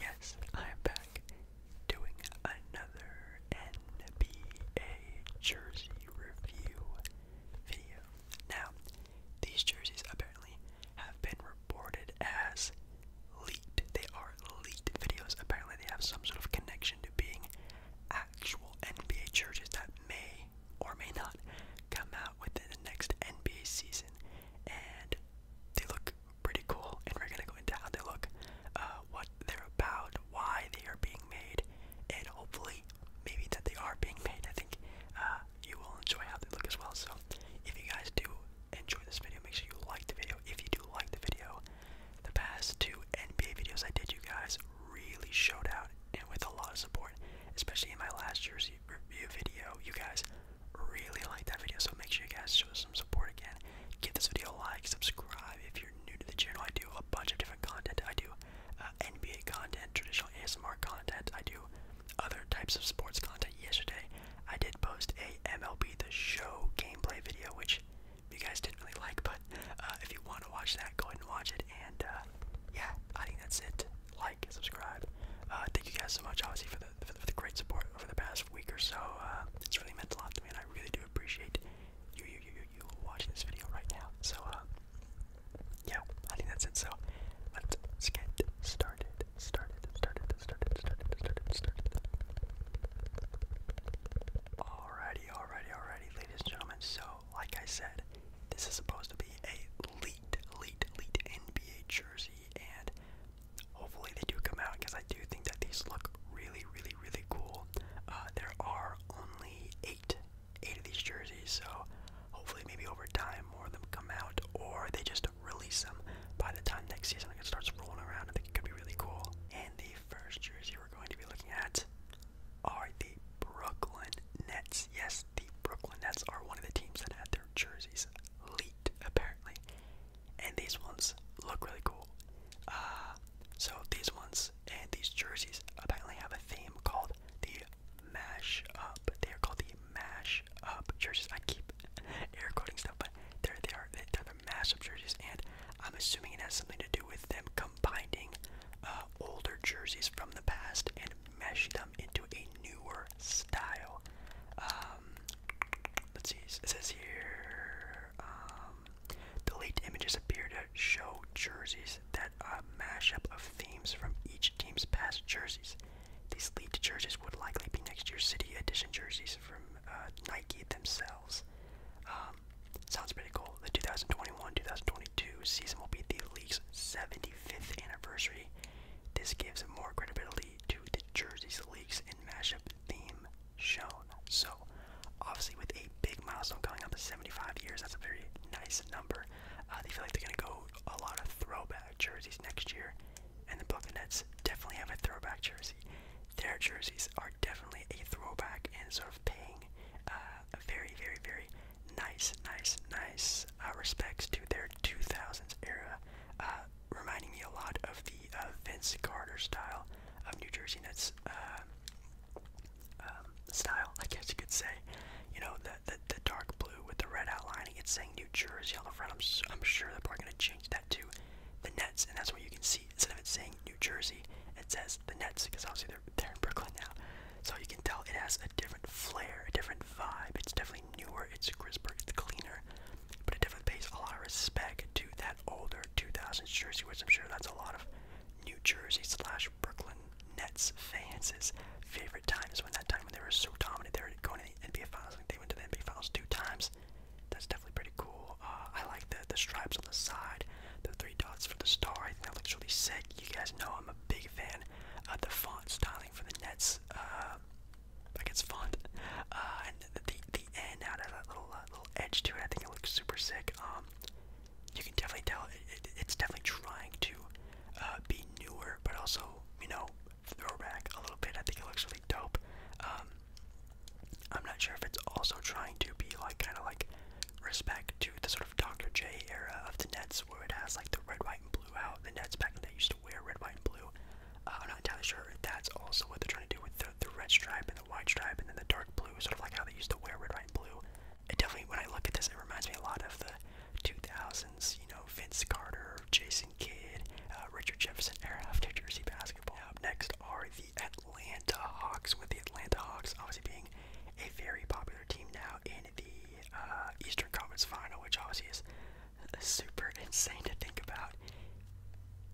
Yes, I'm back doing another NBA jersey review video. Now, these jerseys apparently have been reported as leaked. They are leaked videos. Apparently, they have some sort of connection to being actual NBA jerseys that may or may not come out within the next NBA season. And they look pretty cool, and we're gonna go into how they look, uh, what they're about, why they are being made, and hopefully, maybe that they are being made. I think uh, you will enjoy how they look as well. So, if you guys do enjoy this video, make sure you like the video. If you do like the video, the past two NBA videos I did, you guys really showed out and with a lot of support, especially in my last year's review video. You guys really like that video, so make sure you guys show some support again. Give this video a like, subscribe if you're new to the channel. I do a bunch of different content. I do uh, NBA content, traditional ASMR content. I do other types of sports content. Yesterday, I did post a MLB The Show gameplay video, which you guys didn't really like, but uh, if you want to watch that, go ahead and watch it. And uh, yeah, I think that's it. Like, and subscribe. thank you guys so much, obviously, for the for, the, great support over the past week or so. Uh, it's really meant a lot to me, and I really do appreciate you, you, you, you, you watching this video right now. So, uh, yeah, I think that's it. So, let's get started. Started. Started. Started. Started. Started. Started. Alrighty, alrighty, alrighty, ladies and gentlemen. So, like I said, this is supposed to be a elite, elite, elite NBA jersey, and hopefully they do come out because I do think that these look really, really, really cool. Uh, there are only eight, eight of these jerseys, so hopefully maybe over time more of them come out, or they just release them by the time next season like it starts rolling around. I think it could be really cool. And the first jersey we're going to be looking at are the Brooklyn Nets. Yes, the Brooklyn Nets are one of the teams that had their jerseys leaked apparently, and these ones look really cool. Uh, so these ones and these jerseys apparently have a theme called the mash up. They are called the mash up jerseys. I keep air quoting stuff, but they're they are they're the mash up jerseys, and I'm assuming it has something to do with them combining uh, older jerseys from the past and mesh them into a newer style. Um, let's see. It says here, the um, delete images appear to show jerseys that are a mashup of themes from each team's past jerseys. These lead to jerseys would likely be next year's City Edition jerseys from uh, Nike themselves. Um, sounds pretty cool. The 2021-2022 season will be the league's 75th anniversary. This gives more credibility to the jerseys, leaks, and mashup theme shown. So, obviously, with a big milestone coming up to 75 years, that's a very nice number. Uh, they feel like they're going to go a lot of throwback jerseys next year, and the Brooklyn Nets definitely have a throwback jersey. Their jerseys are definitely a throwback and sort of paying uh, very, very, very nice, nice, nice uh, respects to their 2000s era uh, reminding me a lot of the uh, Vince Carter style of New Jersey Nets uh, um, style, I guess you could say. You know, the, the dark blue with the red outlining. It's saying New Jersey on the front. I'm I'm sure they're probably gonna change that to the Nets, and that's what you can see. Instead of it saying New Jersey, it says the Nets because obviously they're they're in Brooklyn now. So you can tell it has a different flair, a different vibe. It's definitely newer, it's crisper, it's cleaner, but it definitely pays a lot of respect to that older 2000s jersey, which I'm sure that's a lot of New Jersey slash Brooklyn Nets fans' favorite times when that time when they were so dominant, they were going to the NBA Finals. Like they went to the NBA Finals two times. That's definitely pretty cool. Uh, I like the the stripes on the side, the three dots for the star. I think that looks really sick. You guys know I'm a big fan of the font styling for the Nets. Uh, like it's font. Uh, and the the, N out of that little uh, little edge to it, I think it looks super sick. Um, you can definitely tell it, it's definitely trying to uh, be newer, but also you know throwback a little bit. I think it looks really dope. Um, I'm not sure if it's also trying to be like kind of like respect to the sort of Dr. J era of the Nets, shirts where it has like the red, white, and blue out. The Nets back in the day used to wear red, white, and blue. Uh, I'm not entirely sure if that's also what they're trying to do with the, the red stripe and the white stripe and then the dark blue, sort of like how they used to wear red, white, and blue. It definitely, when I look at this, it reminds me a lot of the 2000s, you know, Vince Carter, Jason Kidd, uh, Richard Jefferson era of New Jersey basketball. Up next are the Atlanta Hawks, with the Atlanta Hawks obviously being a very popular team now in the uh, Eastern Conference Final, which obviously is super insane to think about.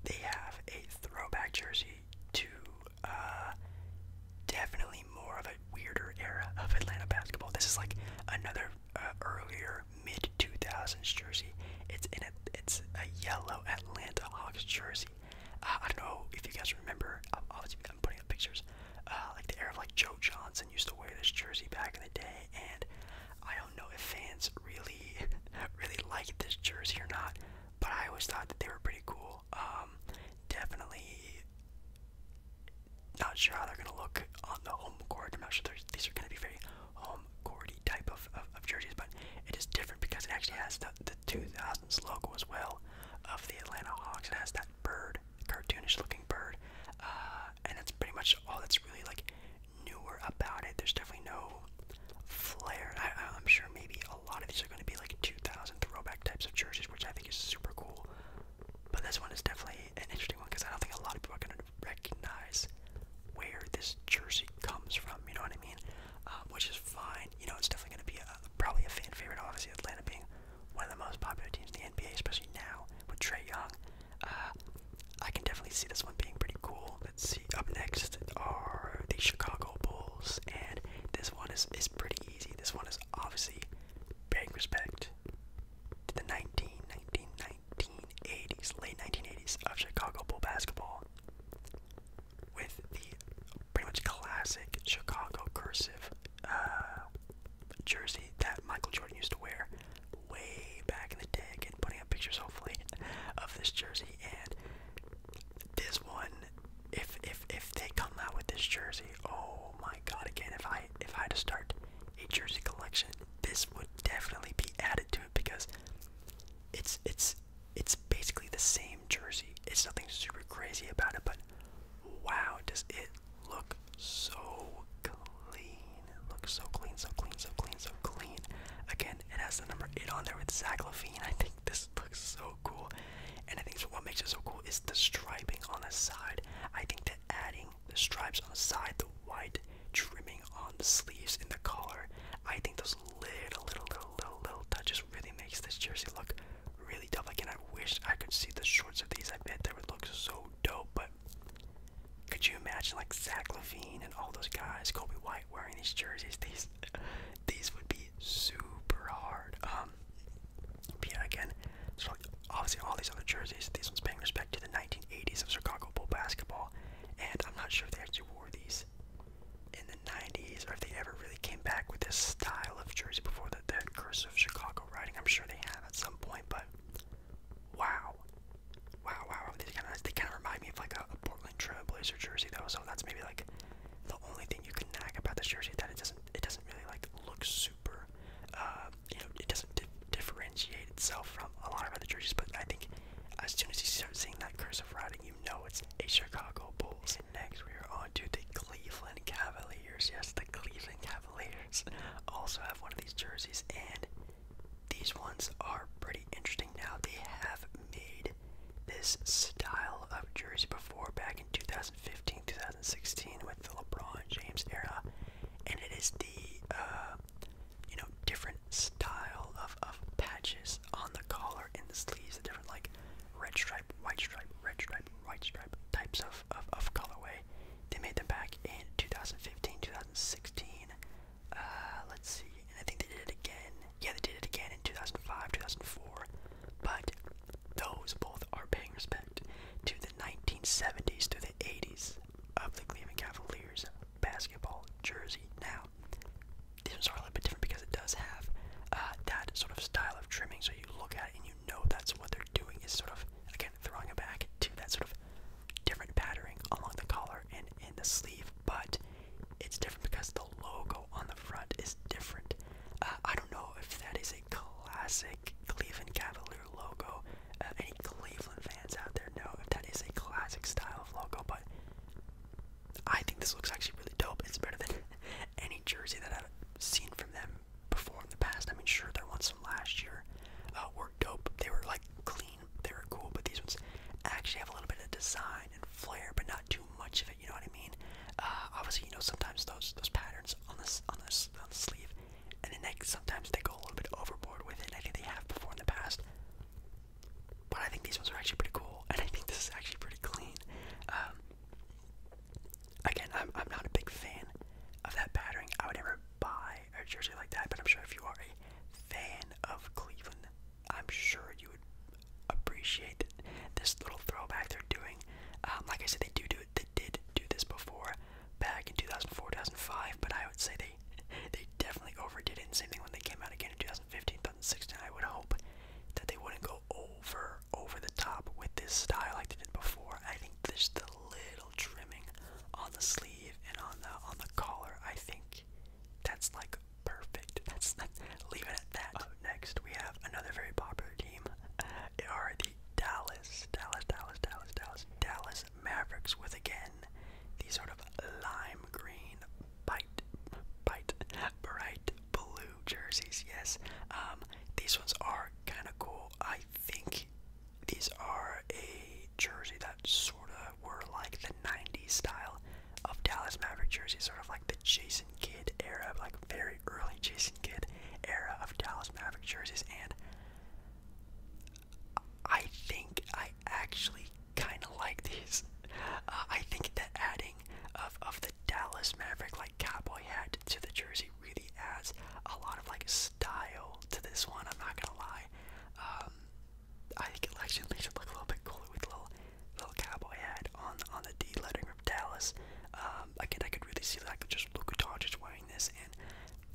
They have a throwback jersey to uh, definitely more of a weirder era of Atlanta basketball. This is like another uh, earlier mid 2000s jersey. It's in a it's a yellow Atlanta Hawks jersey. Uh, I don't know if you guys remember. Obviously, I'm putting up pictures. Uh, like the era of like Joe Johnson used to wear this jersey back in the day, play, and I don't know if fans really, really like this jersey or not. But I always thought that they were pretty cool. Um, definitely not sure how they're gonna look on the home court. I'm not sure these are gonna be very home courty type of, of, of jerseys, but it is different because it actually has the, the 2000s logo as well of the Atlanta Hawks. It has that that bird, cartoonish looking bird, uh, and that's pretty much all that's really like newer about it. There's definitely no flair. I, am sure maybe a lot of these are going to be like 2000 throwback types of churches, which I think is super cool. But this one is definitely an interesting one because I don't think a lot of people are going to recognize where this jersey comes from. You know what I mean? Um, which is fine. You know, it's definitely going to be probably a fan favorite. Obviously, Atlanta being one of the most popular teams in the NBA, especially now with Trey Young. Uh, I can definitely see this one being pretty cool. Let's see. Up next are the Chicago Bulls, and this one is is pretty easy. This one is obviously paying respect to the 19, 1980s, late 1980s of Chicago Bull basketball, with the pretty much classic Chicago cursive uh, jersey that Michael Jordan used to wear way back in the day. Again, putting up pictures hopefully of this jersey and this one. If if if they come out with this jersey, oh my God! Again, if I if I had to start a jersey collection, this would definitely be added to it because it's it's it's basically the same jersey. It's nothing super crazy about it, but wow, does it look so clean. It looks so clean, so clean, so clean, so clean. Again, it has the number 8 on there with Zach Levine. I think this looks so cool. And I think what makes it so cool is the striping on the side. I think that adding the stripes on the side, the white trimming on the sleeves and the collar, I think those little, little, little, little, little touches really makes this jersey look really tough. Again, I wish I could see the shorts of these. I bet they would look so dope, but could you imagine like Zach Levine and all those guys, Kobe White wearing these jerseys? These these would be super hard. Um yeah again, obviously all these other jerseys, these ones paying respect to the nineteen eighties of Chicago Bull basketball. And I'm not sure if they actually wore these in the 90s or if they ever really came back with this style of jersey before the, the curse of Chicago riding. I'm sure they have at some point, but but wow. Wow, wow, wow. These are kinda nice. They kinda remind me of like a, a Portland Trailblazer jersey though, so that's maybe like the only thing you can nag about this jersey that it doesn't it doesn't really like look super uh you know, it doesn't di differentiate itself from a lot of other jerseys, but I think as soon as you start seeing that cursive writing, you know it's a Chicago Bulls. And next we are on to the Cleveland Cavaliers. Yes, the Cleveland Cavaliers. Also have one of these jerseys, and these ones are pretty interesting. Now they have made this style of jersey before, back in 2015, 2016, with the LeBron James era, and it is the uh, you know different style of of patches on the collar and the sleeves, the different like red stripe, white stripe, red stripe, white stripe types of of, of colorway they made them back in 2015, 2016. Uh, let's see, and I think they did it again. Yeah, they did it again in 2005, 2004. But those both are paying respect to the 1970s through the 80s of the Cleveland Cavaliers basketball jersey. Now, these ones are a little bit different because it does have uh, that sort of style of trimming, so you look at it and you know that's what they're doing is sort of again throwing it back to that sort of different patterning along the collar and in the sleeve, but it's different because the logo on the front is different. Uh, I don't know if that is a classic Cleveland Cavalier logo. Uh, any Cleveland fans out there know if that is a classic style of logo, but I think this looks actually really dope. It's better than any jersey that I've seen from them before in the past. I mean, sure, there were some last year uh, were dope. They were like clean, they were cool, but these ones actually have a little bit of design and flair, but not too much of it. You know what I mean? Uh, obviously, you know sometimes those those patterns on this on this on the sleeve, and the neck sometimes they go a little bit overboard with it. I think they have before in the past. But I think these ones are actually pretty cool, and I think this is actually pretty clean. Um, Again, I'm, I'm not a big fan of that battering. I would never buy a jersey like that, but I'm sure if you are a fan of Cleveland, I'm sure you would appreciate this little throwback they're doing. Um, like I said, they do do They did do this before, back in 2004, 2005. But I would say they they definitely overdid it. same thing when they came out again in 2015, 2016. I would hope that they wouldn't go over over the top with this style like they did before. I think just the little trimming on the sleeve and on the on the collar. I think that's like perfect. That's that. Leave it at that. Uh, next, we have another very popular team. It are the Dallas, Dallas, Dallas, Dallas, Dallas, Dallas Mavericks with again these sort of lime green, bite, bite, bright blue jerseys. Yes, um, these ones are kind of cool. I think these are a jersey that sort of were like the '90s style of Dallas Maverick jerseys, sort of like the Jason Kidd era, like very early Jason Kidd era of Dallas Maverick jerseys. And I think I actually kind of like these. Uh, I think the adding of of Dallas Maverick like cowboy hat to the jersey really adds a lot of like style to this one. I'm not gonna lie. Um, I think it actually makes it look a little bit cooler with little little cowboy hat on on the D lettering of Dallas. Um, again, I could really see like just Luka Doncic wearing this, and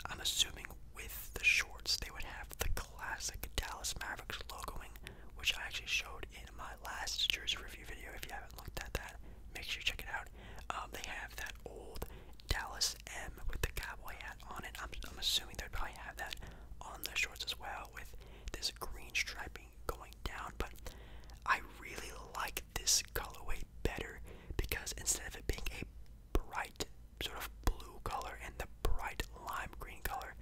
I'm assuming with the shorts they would have the classic Dallas Mavericks logoing, which I actually showed in my last jersey review video. If you haven't looked at that, make sure you check it out. Um, they have that old Dallas M with the cowboy hat on it. I'm, assuming they'd probably have that on their shorts as well with this green striping going down. But I really like this colorway better because instead of it being a bright sort of blue color and the bright lime green color,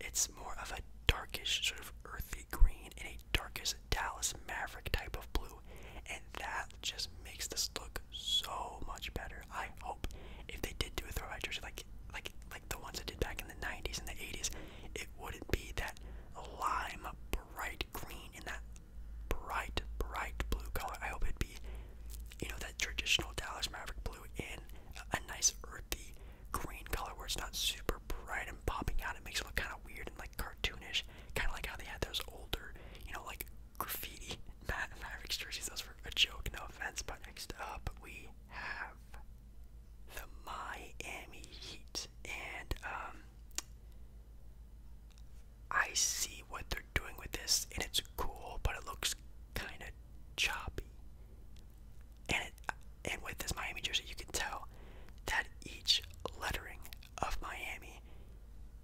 it's more of a darkish sort of earthy green and a darkest Dallas Maverick type of blue, and that just makes this look so much better. I hope if they did do a throwback jersey like like like the ones that did back in the 90s and the 80s, it wouldn't be that lime bright green and that bright bright blue color. I hope it'd be you know that traditional Dallas Maverick blue in a, a nice earthy green color where it's not super bright and popping out. It makes it look kind of weird and like cartoonish, kind of like how they had those older, you know, like graffiti Ma Mavericks jerseys. Those were a joke, no offense. But next up, we have the Miami Heat, and um, I see what they're doing with this, and it's cool, but it looks kind of choppy. And it, and with this Miami jersey, you can tell that each lettering of Miami,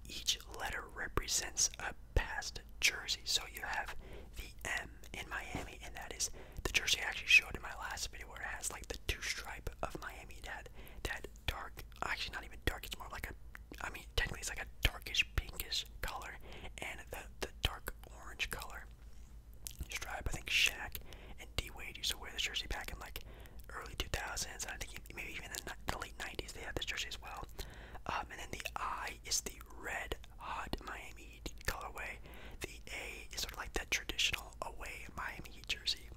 each letter represents a past jersey. So you have the M in Miami, and that is the jersey I actually showed in my last video where it has like the two stripe of Miami that that dark actually not even dark, it's more like a I mean technically it's like a darkish pinkish color and the the dark orange color. Stripe, I think Shaq and D Wade used to wear this jersey back in like early 2000s, I think maybe even in the, the late 90s they had this jersey as well. Um, and then the I is the red hot Miami Heat colorway. The A is sort of like that traditional away Miami jersey.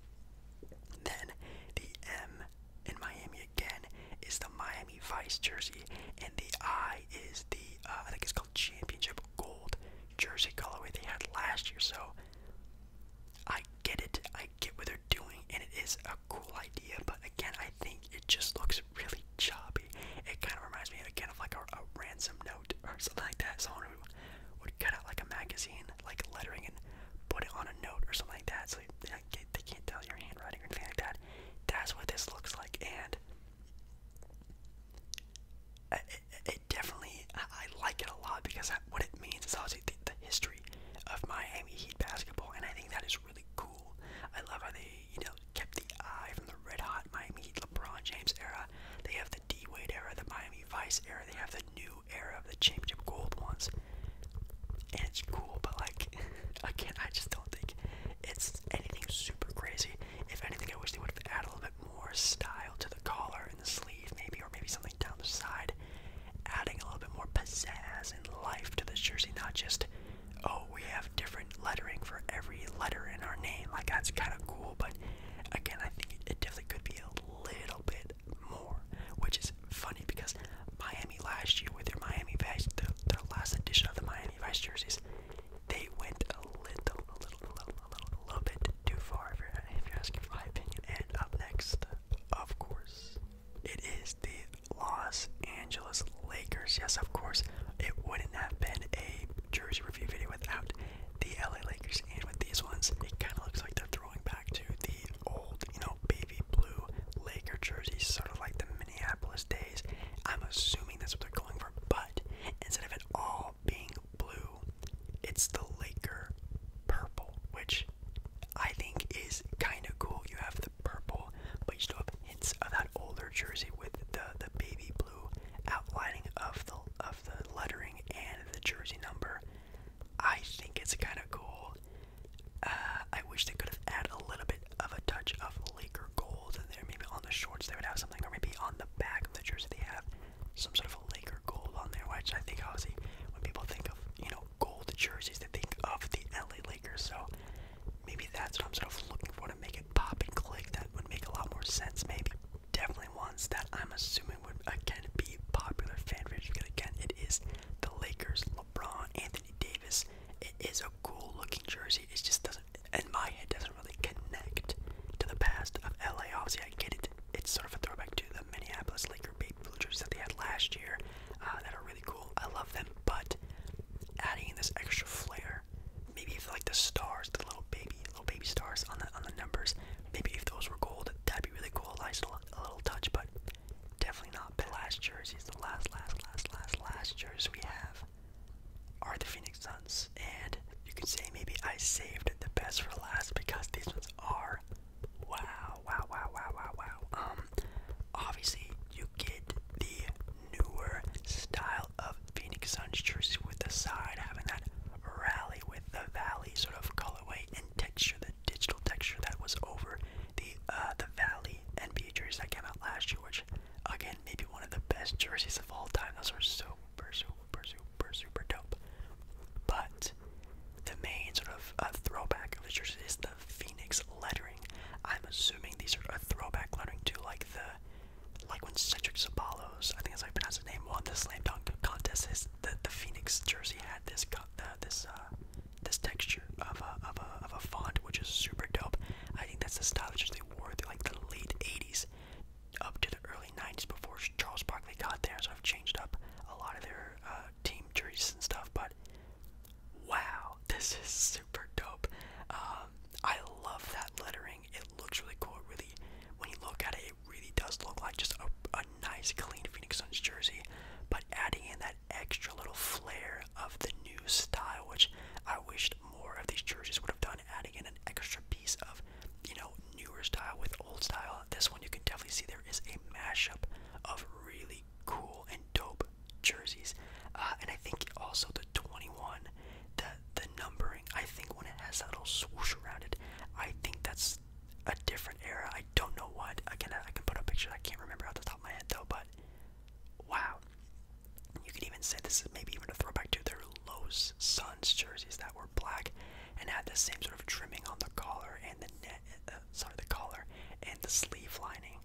Then the M in Miami again is the Miami Vice jersey, and the I is the uh, I think it's called Championship Gold jersey colorway they had last year. So I get it, I get what they're doing, and it is a cool idea, but again, I think it just looks really choppy. It kind of reminds me again of like a, ransom note or something like that. Someone who would cut out like a magazine, like lettering, and put it on a note or something like that, so they can't tell your handwriting or anything like that. That's what this looks like, and it, definitely I like it a lot because what it means is also the, history of Miami Heat basketball, and I think that is really cool. I love how they you know kept the eye from the red hot Miami Heat LeBron James era. They have the D Wade era, the Miami Vice era. They have the new era of the championship gold ones, and it's cool. But like again, I just don't think it's anything super crazy. If anything, I wish they would add a little bit more style to the collar the sleeve, maybe, or maybe something down the side, adding a little bit more pizzazz and life to this jersey. Not just, oh, we have different lettering for every letter in our name. Like, that's kind of cool, but again, I think it definitely could be a little bit more, which is funny because Miami last year, with their Miami Vice, their, their last edition of the Miami Vice jerseys, they went a little, a little, a little, a little, a little bit too far if you're, if you my opinion. And up next, of course, it is the Los Angeles Lakers. Yes, of course, it wouldn't have been a jersey review video without the LA Lakers. And with these ones, it kind of looks like they're throwing back to the old, you know, baby blue Laker jerseys, sort of like the Minneapolis days. I'm assuming that's what they're going for, but instead of it all being blue, it's the Laker purple, which I think is kind of cool. You have the purple, but you still have hints of that older jersey with the the baby blue outlining of the of the lettering and the jersey number. I think it's kind of cool. Uh, I wish they could have added a little bit of a touch of Laker gold in there. Maybe on the shorts they would have something, or maybe on the back of the jersey they have some sort of a Laker gold on there, which I think obviously when people think of you know gold jerseys, they think of the LA Lakers. So maybe that's what I'm sort of looking for to make it pop and click. That would make a lot more sense, maybe. Definitely ones that I'm assuming would again be popular fan favorites because again it is the Lakers, LeBron, Anthony Davis. It is a cool looking jersey. It just doesn't and my head doesn't really connect to the past of LA. Obviously, I get it. It's sort of a throwback to the Minneapolis Lakers, Babe Blue jerseys that they had last year uh, that are really cool. I love them, but adding this extra flair, maybe if like the stars, the little baby, little baby stars on the on the numbers, maybe if those were gold, that'd be really cool. Nice little, a little touch, but definitely not the last jerseys. The last, last, last, last, last jerseys we have are the Phoenix Suns. And you can say maybe I saved the best for last because these ones are wow, wow, wow, wow, wow, wow. Um, obviously, you get the newer style of Phoenix Suns jersey with the side having that rally with the valley sort of colorway and texture, the digital texture that was over the uh, the valley NBA jersey that came out last year, which again maybe one of the best jerseys of all time. Those are so super, super, super, super dope. But the main sort of uh, throwback of the jersey is the Phoenix lettering. I'm assuming these are a throwback lettering to like the, like when Cedric Sabalos, I think that's how I pronounce his name, won the slam dunk contest. Is the, the Phoenix jersey had this uh, this uh, this texture of a, of a of a font, which is super dope. I think that's the style that they wore through like the late '80s up to the early 90s before Charles Barkley got there, so I've changed up a lot of their uh, team jerseys and stuff. But wow, this is super dope. Um, I love that lettering. It looks really cool. really, when you look at it, it really does look like just a, a nice, clean Phoenix Suns jersey. But adding in that extra little flair of the new style, which I wished more of these jerseys would have done adding in an extra piece of, you know, newer style with old style. This one you can definitely see there is a mashup of really cool and dope jerseys. Uh, and I think also the 21, the the numbering, I think when it has that little swoosh around it, I think that's a different era. I don't know what. Again, I can put a picture. I can't remember off the top of my head though, but wow. You could even say this is maybe even a throwback to their Lowe's Suns jerseys that were black and had the same sort of trimming on the collar and the net, uh, sorry, the collar and the sleeve lining.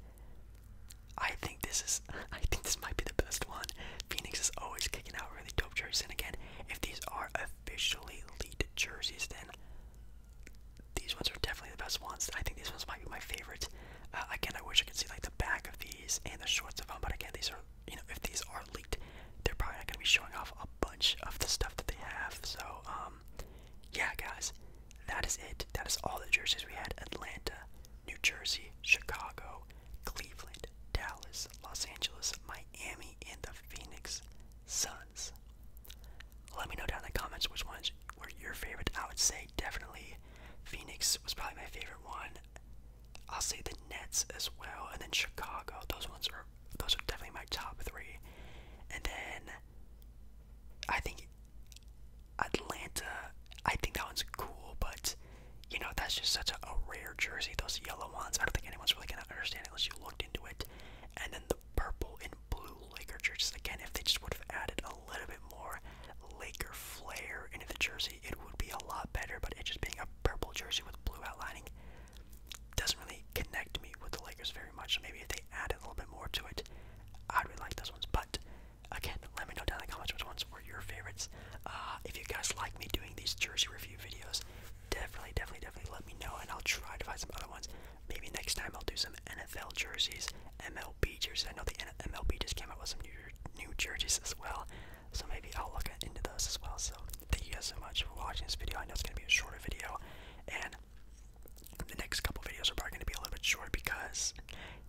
I think this is, I think this might be the best one. Phoenix is always kicking out really dope jerseys, and again, if these are officially lead jerseys, then these ones are definitely the best ones. I think these ones might be my favorite. Uh, again, I wish I could see like the back of these and the shorts of them, but again, these are you know, if these are leaked, they're probably not gonna be showing off a bunch of the stuff that they have. So, um, yeah, guys, that is it. That is all the jerseys we had: Atlanta, New Jersey, Chicago, Cleveland, Dallas, Los Angeles, Miami, and the Phoenix Suns. Let me know down in the comments which ones were your favorite. I would say definitely Phoenix was probably my favorite one. I'll say the Nets as well, and then Chicago. Those ones are those are definitely my top three. And then I think Atlanta. I think that one's cool, but you know that's just such a, rare jersey. Those yellow ones. I don't think anyone's really gonna understand it unless you looked into it. And then the purple and blue Laker jerseys. Again, if they just would have added a little bit more Laker flair into the jersey it would be a lot better, but it just being a purple jersey with blue outlining doesn't really connect me with the Lakers very much. maybe if they add a little bit more to it, I'd really like those ones. But again, let me know down in the comments which ones were your favorites. Uh, if you guys like me doing these jersey review videos, definitely, definitely, definitely let me know, and I'll try to find some other ones. Maybe next time I'll do some NFL jerseys, MLB jerseys. I know the MLB just came out with some new new jerseys as well. So maybe I'll look into those as well. So thank you guys so much for watching this video. I know it's gonna be a shorter video, and the next couple videos are probably gonna be a little bit short because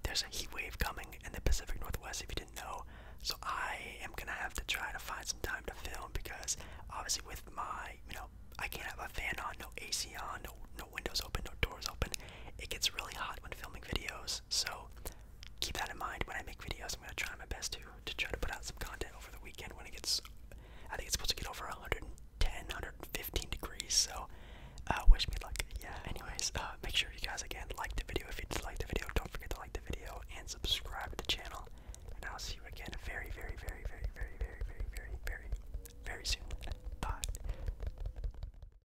there's a heat wave coming in the Pacific Northwest. If you didn't know, so I am gonna have to try to find some time to film because obviously with my you know I can't have a fan on, no AC on, no no windows open, no doors open. It gets really hot when filming videos. So keep that in mind when I make videos. I'm gonna try my best to to try to put out some content over the weekend when it gets. I think it's supposed to get over 110, 115 degrees. So, uh, wish me luck. Yeah. Anyways, uh, make sure you guys again like the video if you did like the video. Don't forget to like the video and subscribe to the channel. And I'll see you again very, very, very, very, very, very, very, very, very, very soon. Bye.